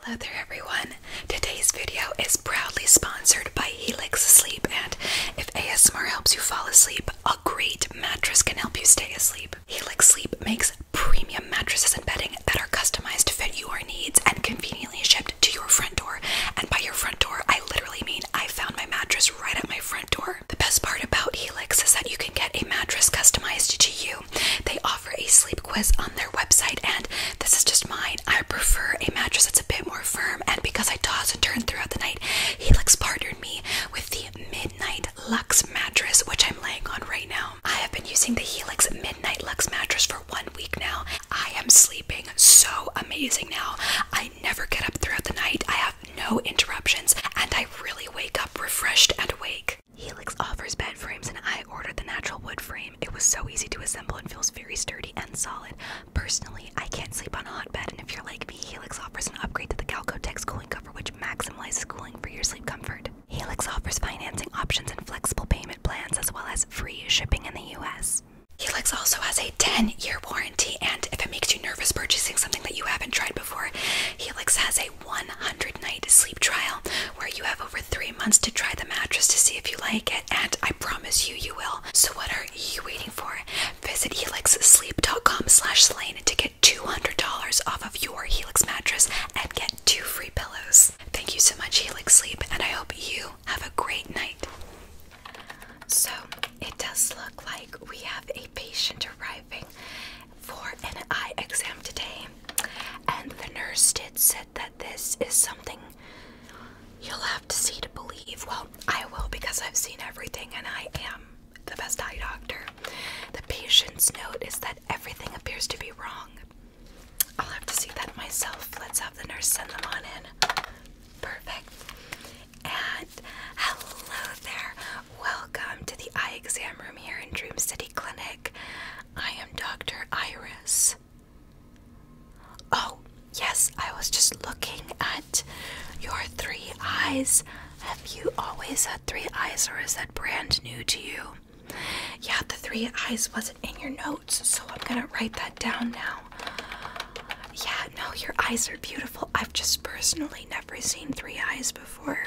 Hello there everyone! Today's video is proudly sponsored by Helix Sleep and if ASMR helps you fall asleep, a great mattress can help you stay asleep. Helix Sleep makes premium mattresses and bedding that are customized to fit your needs and conveniently shipped to your front door. And by your front door, I literally mean I found my mattress right at my front door. The best part about Helix is that you can get a mattress customized to you they offer a sleep quiz on their website, and this is just mine. I prefer a mattress that's a bit more firm, and because I toss and turn throughout the night, Helix partnered me with the Midnight Lux mattress, which I'm laying on right now. I have been using the Helix Midnight Lux mattress for one week now. I am sleeping so amazing now. I never get up throughout the night. I have no interruptions, and I really wake up refreshed and awake. Helix offers bed frames, and I ordered the natural wood frame. It was so easy to assemble and feels very sturdy and solid. Personally, I can't sleep on a hot bed, and if you're like me, Helix offers an upgrade to the Calcotex cooling cover, which maximizes cooling for your sleep comfort. Helix offers financing options and flexible payment plans, as well as free shipping in the U.S. Helix also has a 10 year warranty, and if it makes you nervous purchasing something that you haven't tried before, Helix has a 100 night sleep trial where you have over three months to try the mattress to see if you like it, and I promise you, you will. So what are you waiting for? Visit helixsleep.com slash slain to get $200 off of your Helix mattress and get two free pillows. Thank you so much, Helix Sleep, and I hope you have a great night. So, it does look like we have a patient arriving for an eye exam today. And the nurse did said that this is something you'll have to see to believe. Well, I will because I've seen everything and I am the best eye doctor. The patient's note is that everything appears to be wrong. I'll have to see that myself. Let's have the nurse send them on in. Perfect. And hello there. Welcome to the eye exam room here in Dream City Clinic. I am Dr. Iris. Oh, yes, I was just looking at your three eyes. Have you always had three eyes, or is that brand new to you? Yeah, the three eyes wasn't in your notes, so I'm gonna write that down now. Yeah, no, your eyes are beautiful. I've just personally never seen three eyes before.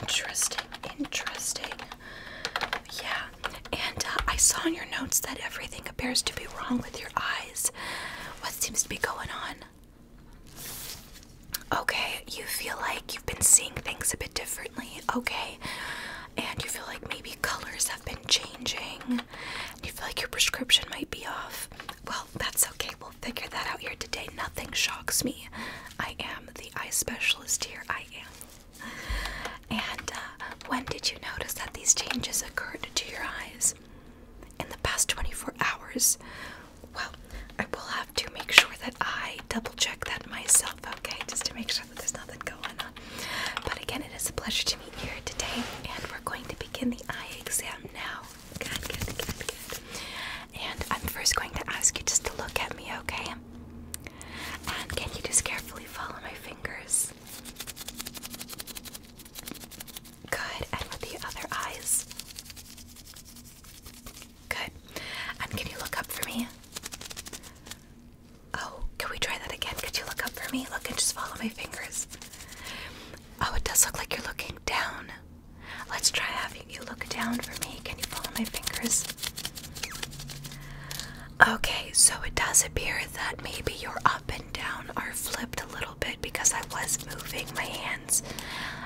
Interesting, interesting. Yeah, and uh, I saw in your notes that everything appears to be wrong with your eyes. What seems to be going on? Okay, you feel like you've been seeing things a bit differently. Okay, and you feel like maybe colors have been changing. You feel like your prescription might be off. Well, that's okay. We'll figure that out here today. Nothing shocks me. I am the eye specialist here. I am and uh, when did you notice that these changes occurred to your eyes? In the past 24 hours? Well, I will have to make sure that I double check that myself, okay? Just to make sure that there's nothing going on. But again, it is a pleasure to meet you here today, and we're going to begin the eye exam now. And I'm first going to ask you just to look at me, okay? And can you just carefully follow my fingers? Good. And with the other eyes? Good. And can you look up for me? Oh, can we try that again? Could you look up for me? Look and just follow my fingers. Oh, it does look like you're looking down. Let's try having you look down for me. Can you follow my fingers? Okay, so it does appear that maybe your up and down are flipped a little bit because I was moving my hands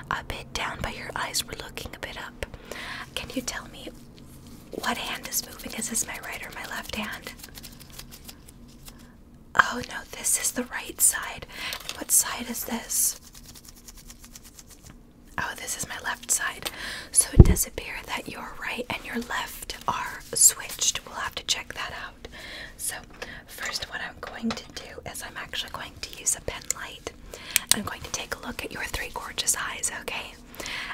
a bit down, but your eyes were looking a bit up. Can you tell me what hand is moving? Is this my right or my left hand? Oh no, this is the right side. what side is this? Oh, this is my left side. So it does appear that your right and your left are switched. We'll have to check that out. So, first, what I'm going to do is I'm actually going to use a pen light. I'm going to take a look at your three gorgeous eyes, okay?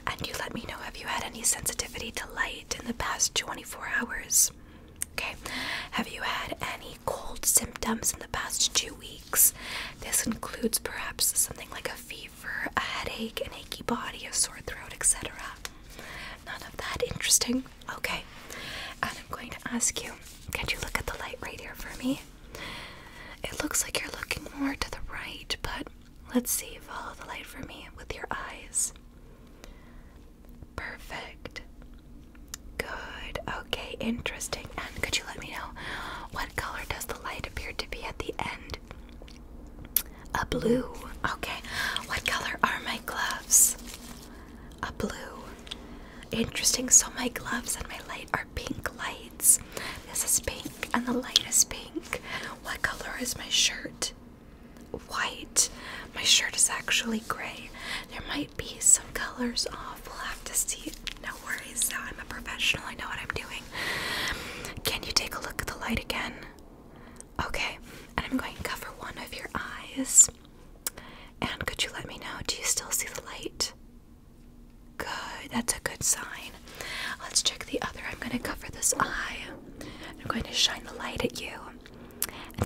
And you let me know if you had any sensitivity to light in the past 24 hours. Okay, have you had any cold symptoms in the past two weeks? This includes perhaps something like a fever for a headache, an achy body, a sore throat, etc. None of that interesting. Okay. And I'm going to ask you, can you look at the light right here for me? It looks like you're looking more to the right, but let's see. Follow the light for me with your eyes. Perfect. Good. Okay, interesting. And could you let me know what color does the light appear to be at the end? A blue. Okay. What color are my gloves? A blue. Interesting. So my gloves and my light are pink lights. This is pink and the light is pink. What color is my shirt? White. My shirt is actually gray. There might be some colors off. We'll have to see. No worries, though. I'm a professional. I know what I'm doing. Can you take a look at the light again? Okay, and I'm going to cover one of your eyes. And could you let me know? Do you still see the light? Good, that's a good sign. Let's check the other. I'm going to cover this eye. I'm going to shine the light at you.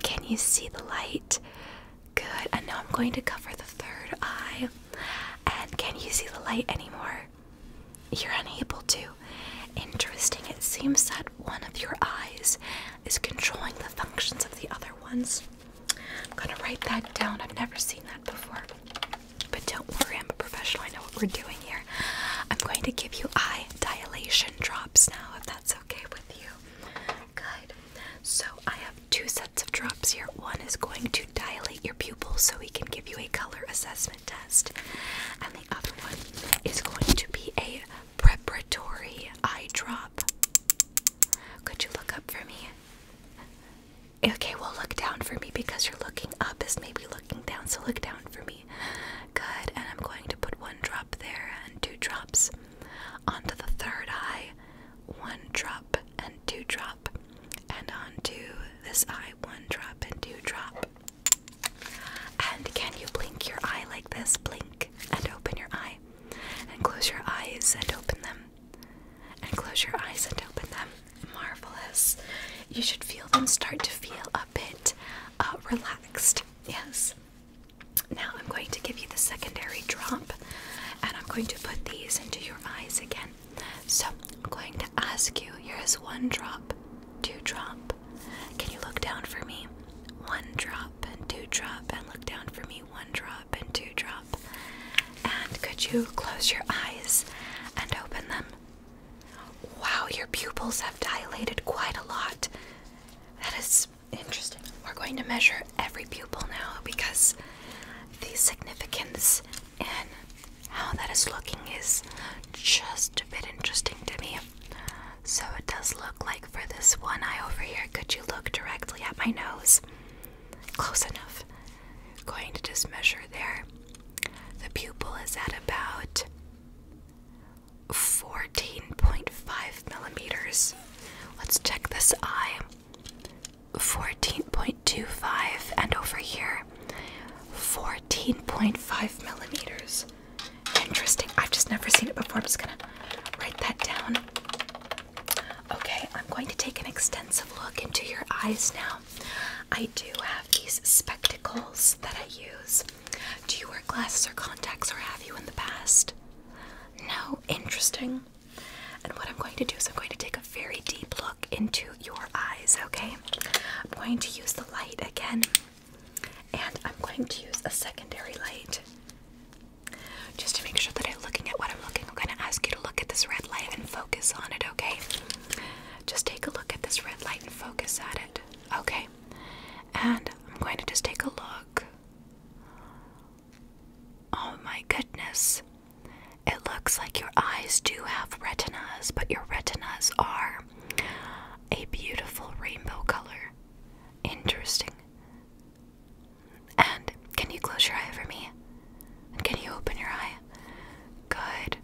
can you see the light? Good, and now I'm going to cover the third eye. And can you see the light anymore? You're unable to. Interesting, it seems that one of your eyes is controlling the functions of the other ones. I'm gonna write that down. I've never seen that before. But don't worry, I'm a professional. I know what we're doing here. I'm going to give you eye dilation drops now, if that's okay with you. Good. So I have two sets of drops here. One is going to dilate your pupils so we can give you a color assessment test, and the other one is going to be a preparatory eye drop. Could you look up for me? Okay, well, look down for me because you're looking up is maybe looking down, so look down for me. Good, and I'm going to put one drop there and two drops onto the third eye, one drop and two drop, and onto this eye, one drop and two drop. And can you blink your eye like this? Blink and open your eye. And close your eyes and open them. And close your eyes and open them. Marvelous. You should feel them start to feel a bit uh, relaxed. Yes. Now I'm going to give you the secondary drop and I'm going to put these into your eyes again. So I'm going to ask you here's one drop, two drop. Can you look down for me? One drop and two drop, and look down for me. One drop and two drop. And could you close your eyes and open them? Wow, your pupils have dilated quite a lot. That is interesting. We're going to measure every pupil now because the significance and how that is looking is just a bit interesting to me. So it does look like for this one eye over here, could you look directly at my nose? Close enough. Going to just measure there. The pupil is at about 14.5 millimeters. Let's check this eye. 14.25, and over here, 14.5 millimeters. Interesting. I've just never seen it before. I'm just gonna write that down. Okay, I'm going to take an extensive look into your eyes now. I do have these spectacles that I use. Do you wear glasses or contacts, or have you in the past? No, interesting. And what I'm going to do is I'm going to take a very deep look into your eyes, okay? I'm going to use the light again, and I'm going to use a secondary light. Just to make sure that I'm looking at what I'm looking, I'm going to ask you to look at this red light and focus on it, okay? Just take a look at this red light and focus at it, okay? And I'm going to just take a look. Oh my goodness. It looks like your eyes do have retinas, but your retinas are a beautiful rainbow color. Interesting. And can you close your eye for me? can you open your eye? Good.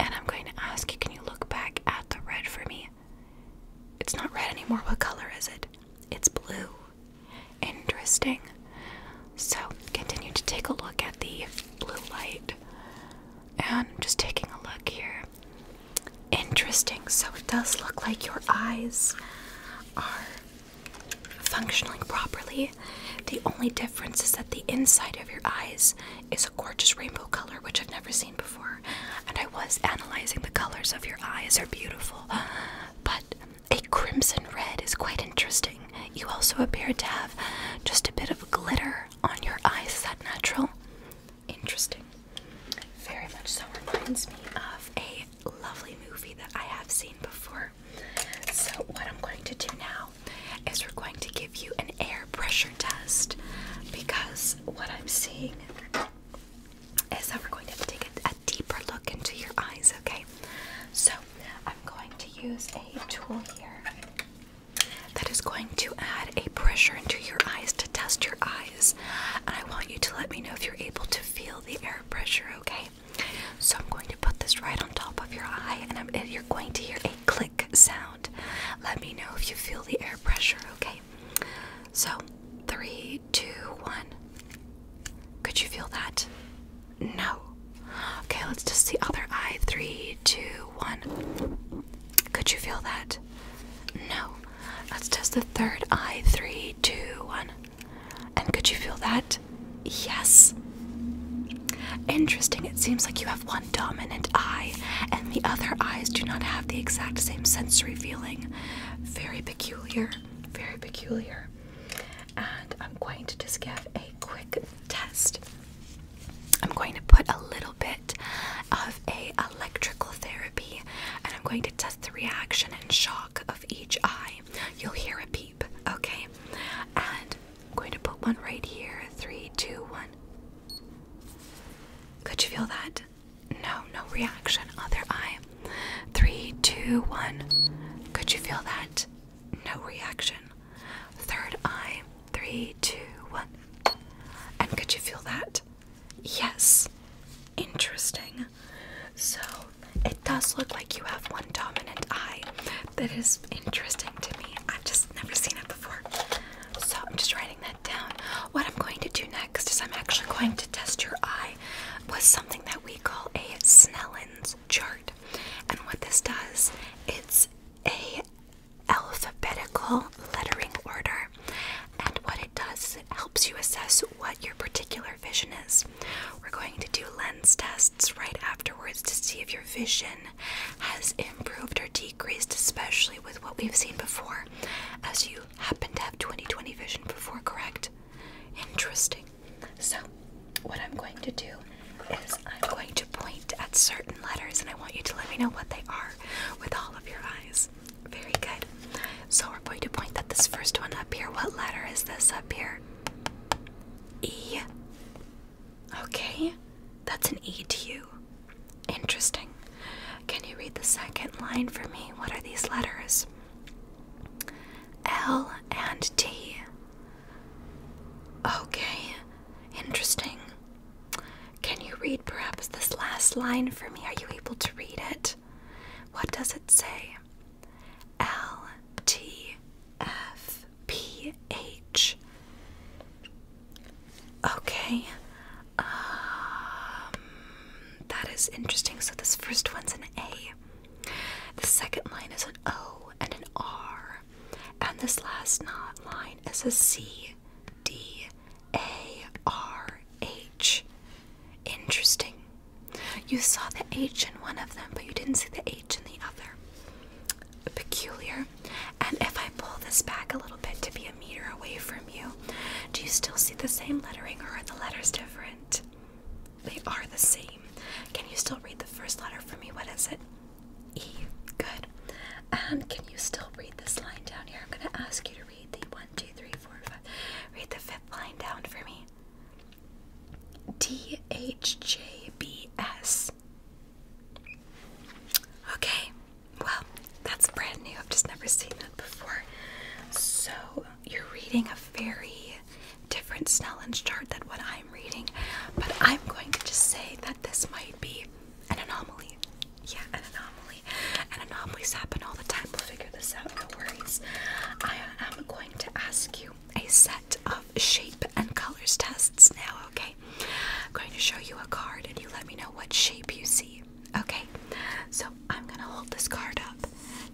And I'm going to ask you, can you look back at the red for me? It's not red anymore. What color is it? It's blue. Interesting. So continue to take a look at the blue light. And I'm just taking a look here. Interesting. So it does look like your eyes are functioning properly. The only difference is that the inside of your eyes is a gorgeous rainbow color, which I've never seen before. And I was analyzing the colors of your eyes are beautiful. But a crimson red is quite interesting. You also appear to have just a bit of glitter on your eyes. that natural? Interesting. Very much so reminds me of a lovely movie that I have seen before. So, what I'm going to do now is we're going to give you an air pressure test because what I'm seeing is that we're going to have to take a, a deeper look into your eyes, okay? So, I'm going to use a tool here that is going to add a pressure into your eyes to test your eyes. And I want you to let me know if you're able to feel the air pressure, okay? So I'm going to put this right on top of your eye and, you're going to hear a click sound. Let me know if you feel the air pressure, okay? So, three, two, one. Could you feel that? No. Okay, let's just the other eye. Three, two, one. Could you feel that? No. Let's test the third eye. Three, two, one. And could you feel that? Yes. Interesting. It seems like you have one dominant eye, and the other eyes do not have the exact same sensory feeling. Very peculiar. Very peculiar. And I'm going to just give a quick test I'm going to put a little bit of a electrical therapy and I'm going to test the reaction and shock of each eye. You'll hear a peep, okay? And I'm going to put one right here. Three, two, one. Could you feel that? No, no reaction. Other eye. Three, two, one. Could you feel that? No reaction. Third eye. Three, two, one. And could you feel that? Yes. Interesting. So it does look like you have one dominant eye. That is interesting to me. I've just never seen it before. So I'm just writing that down. What I'm going to do next is I'm actually going to test your eye with something that we call a Snellen's chart. And what this does, it's a alphabetical lettering order. And what it does is it helps you assess what your particular vision is. We're going to do lens tests right afterwards to see if your vision has improved or decreased, especially with what we've seen before, as you happen to have 2020 vision before, correct? Interesting. So, what I'm going to do is. I'm going to point at certain letters and I want you to let me know what they are with all of your eyes. Very good. So we're going to point at this first one up here. What letter is this up here? E. Okay, that's an E to you. Interesting. Can you read the second line for me? What are these letters? L and T. Okay, interesting. Can you read perhaps this last line for me? Are you able to read it? What does it say? L T F P H. Okay. Um, that is interesting. So this first one's an A. The second line is an O and an R. And this last line is a C D A R H. Interesting. You saw the H in one of them, but you didn't see the H in the other. Peculiar. And if I pull this back a little bit to be a meter away from you, do you still see the same lettering or are the letters different? They are the same. Can you still read the first letter for me? What is it? E. Good. And can you still read this line down here? I'm going to ask you to read the one, two, three, four, five. Read the fifth line down for me. D H J B S. Okay, well, that's brand new. I've just never seen that before. So, you're reading a very different Snellen chart than what I'm reading, but I'm going to just say that this might be an anomaly. Yeah, an anomaly. And anomalies happen all the time. We'll figure this out, no worries. I am going to ask you a set of shape and colors tests now, okay? I'm going to show you a card and you let me know what shape you see, okay? So I'm going to hold this card up.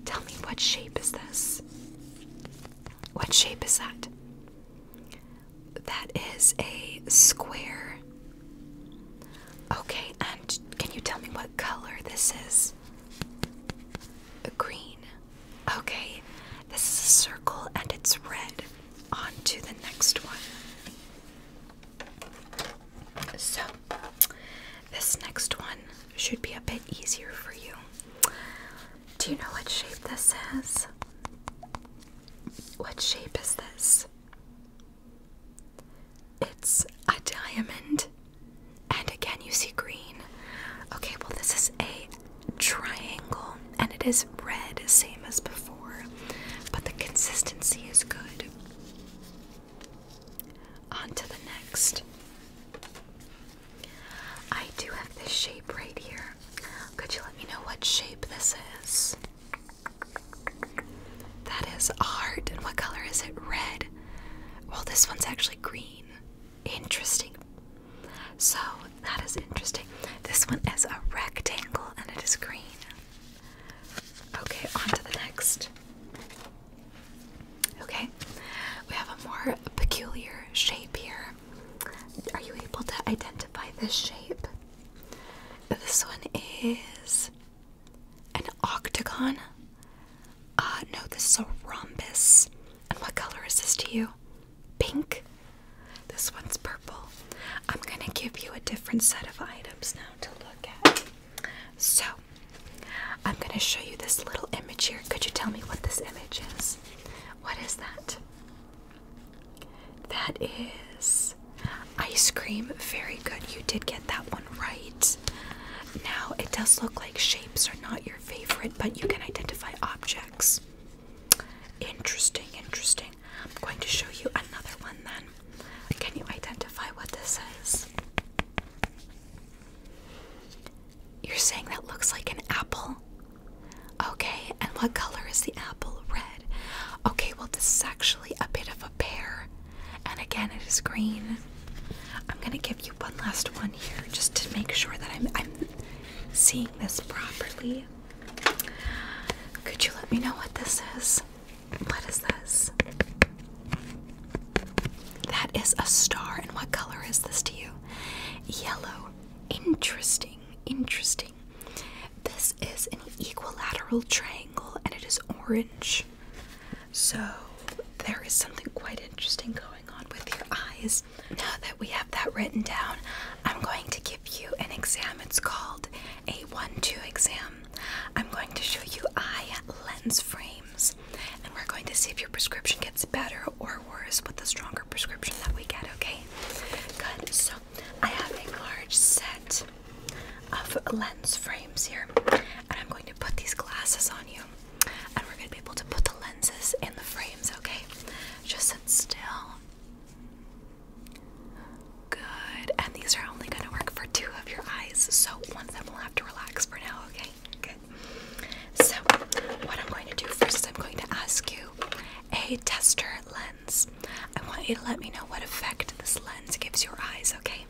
Tell me what shape is this? What shape is that? That is a square. Okay, and can you tell me what color this is? A green. Okay, this is a circle and it's red. On to the next one. So, this next one should be a bit easier for you. Do you know what shape this is? What shape is this? It's a diamond. And again, you see green. Okay, well, this is a triangle and it is red, same as before, but the consistency is good. On to the next. I do have this shape right here. Could you let me know what shape this is? That is a heart. And what color is it? Red. Well, this one's actually green. Interesting. So, that is interesting. This one is a rectangle and it is green. Okay, on to the next. Okay, we have a more peculiar shape here. Are you able to identify this shape? This one is an octagon. Uh, no, this is a rhombus. And what color is this to you? Pink? This one's purple. I'm gonna give you a different set of items now to look at. So, I'm gonna show you this little image here. Could you tell me what this image is? What is that? That is ice cream. Very good. You did get that one right. Now, it does look like shapes are not your favorite, but you can identify objects. Interesting, interesting. I'm going to show you another one then. Can you identify what this is? You're saying that looks like an apple? Okay, and what color is the apple? Red. Okay, well, this actually a bit of a pear, and again, it is green. I'm gonna give you one last one here just to make sure that I'm seeing this properly. Could you let me know what this is? What is this? That is a star, and what color is this to you? Yellow. Interesting, interesting. This is an equilateral triangle and it is orange. So there is something quite interesting going on with your eyes. Now that we have that written down, I'm going to give you an exam. It's called a 1-2 exam. I'm going to show you eye lens frames and we're going to see if your prescription gets better or worse with the stronger prescription that we get, okay? Good. So I have a large set of lens frames here, and I'm going to put these glasses on you, and we're going to be able to put the lenses in the frames, okay? Just sit still. Good. And these are only going to work for two of your eyes, so one of them will have to relax for now, okay? Good. So, what I'm going to do first is I'm going to ask you a tester lens. I want you to let me know what effect this lens gives your eyes, okay?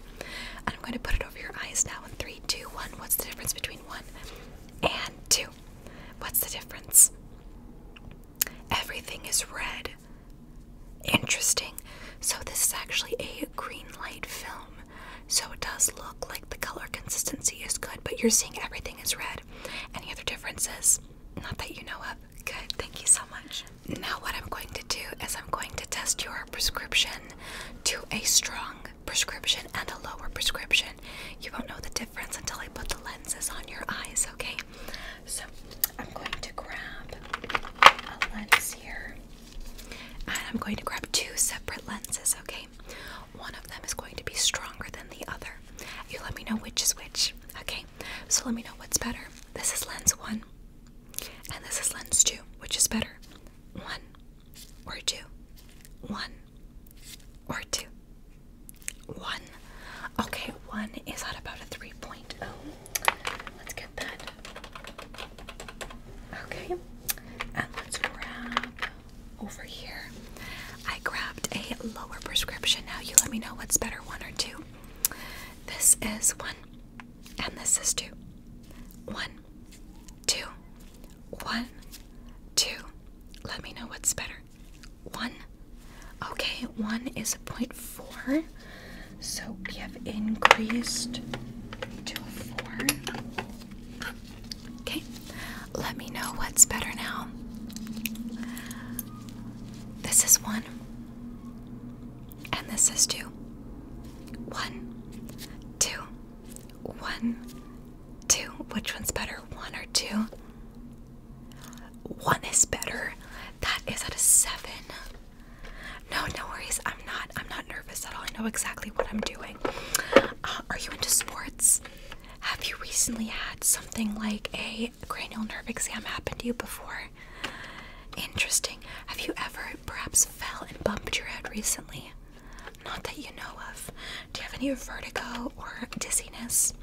And I'm going to put it over your eyes now in three, two, one. What's the difference between one and two? What's the difference? Everything is red. Interesting. So, this is actually a green light film. So, it does look like the color consistency is good, but you're seeing everything is red. Any other differences? Not that you know of. Good, thank you so much. Now, what I'm going to do is I'm going to test your prescription to a strong prescription and a lower prescription. You won't know the difference until I put the lenses on your eyes, okay? So, I'm going to grab a lens here, and I'm going to grab two separate lenses, okay? One of them is going to be stronger than the other. You let me know which is which, okay? So, let me know what's better. This is lens one. And this is lens two. Which is better? One or two? One or two? One. Okay, one is at about a 3.0. Let's get that. Okay. And let's grab over here. I grabbed a lower prescription. Now you let me know what's better, one or two. This is 1 and this is two. One, two, one, two. Let me know what's better. One. Okay, one is a point four, so we have increased to a four. Okay, let me know what's better now. This is one. And this is two, one, two, one, two. Which one's better, one or two? One is better. That is at a seven. No, no worries. I'm not. I'm not nervous at all. I know exactly what I'm doing. Uh, are you into sports? Have you recently had something like a cranial nerve exam happen to you before? Interesting. Have you ever perhaps fell and bumped your head recently? Not that you know of. Do you have any vertigo or dizziness?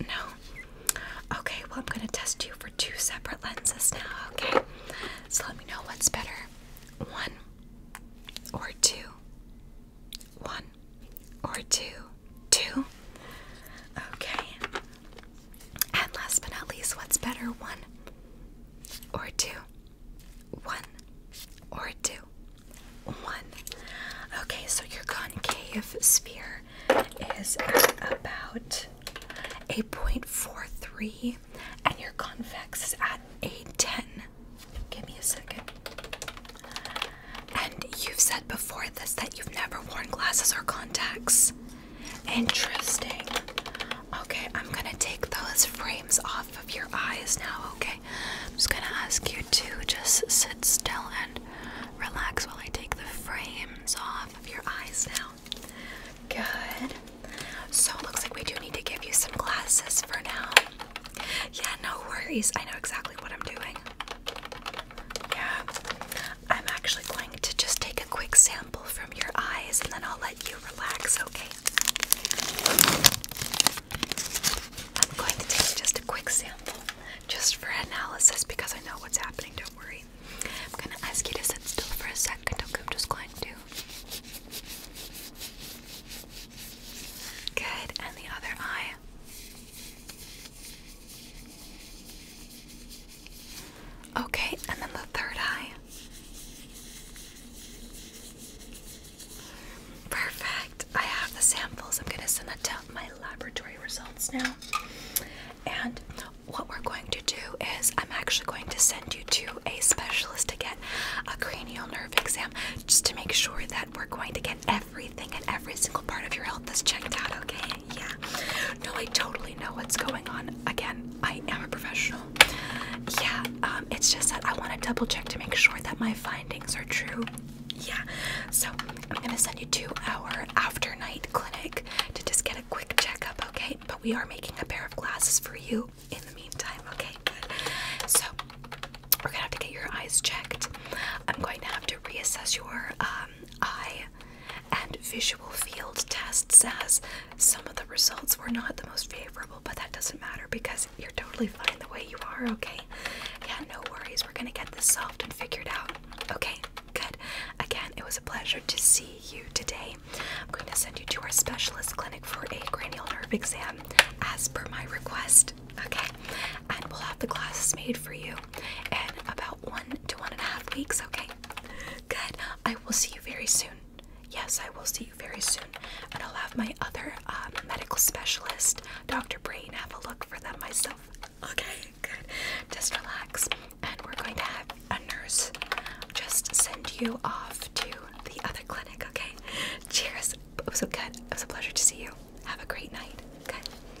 No. Okay, well, I'm going to test you for two separate lenses now, okay? So let me know what's better one or two. One or two. Two. Okay. And last but not least, what's better, one or two? One or two? One. Okay, so your concave sphere is at about a 0.43 and your convex is at a 10. Give me a second. And you've said before this that you've never worn glasses or contacts. Interesting. Okay, I'm gonna take those frames off of your eyes now, okay? I'm just gonna ask you to just sit still and relax while I take the frames off of your eyes now. Good. So it looks like we do need to give you some glasses for now. Yeah, no worries. I know exactly what I'm doing. Yeah. I'm actually going to just take a quick sample from your eyes and then I'll let you relax, okay? I'm going to take just a quick sample just for analysis because I know what's happening, don't worry. I'm going to ask you to sit still for a second, okay? I'm just going to. Good, and the other eye. Okay, and then the third eye. Perfect. I have the samples. I'm going to send that to my laboratory results now. And what we're going to do is, I'm actually going to send you to a specialist to get a cranial nerve exam just to make sure that we're going to get everything and every single part of your health is checked out, okay? yeah. No, I totally know what's going on. Again, I am a professional. Yeah, um, it's just that I want to double check to make sure that my findings are true. Yeah, so I'm gonna send you to our after night clinic to just get a quick checkup, okay? But we are making a pair of glasses for you in the meantime, okay? Good. So we're gonna have to get your eyes checked. I'm going to have to reassess your um, eye and visual field tests as some of the results were not the most favorable, but that doesn't matter because you're totally fine the way you are, okay? Yeah, no worries. We're going to get this solved and figured out. Okay, good. Again, it was a pleasure to see you today. I'm going to send you to our specialist clinic for a cranial nerve exam as per my request, okay? And we'll have the glasses made for you in about one to one and a half weeks, okay? good. I will see you very soon. Yes, I will see you very soon. And I'll have my other um, medical specialist, Dr. Brain, have a look for them myself. Okay, good. Just relax. And we're going to have a nurse just send you off to the other clinic, okay? Cheers. It was so good. It was a pleasure to see you. Have a great night. Good.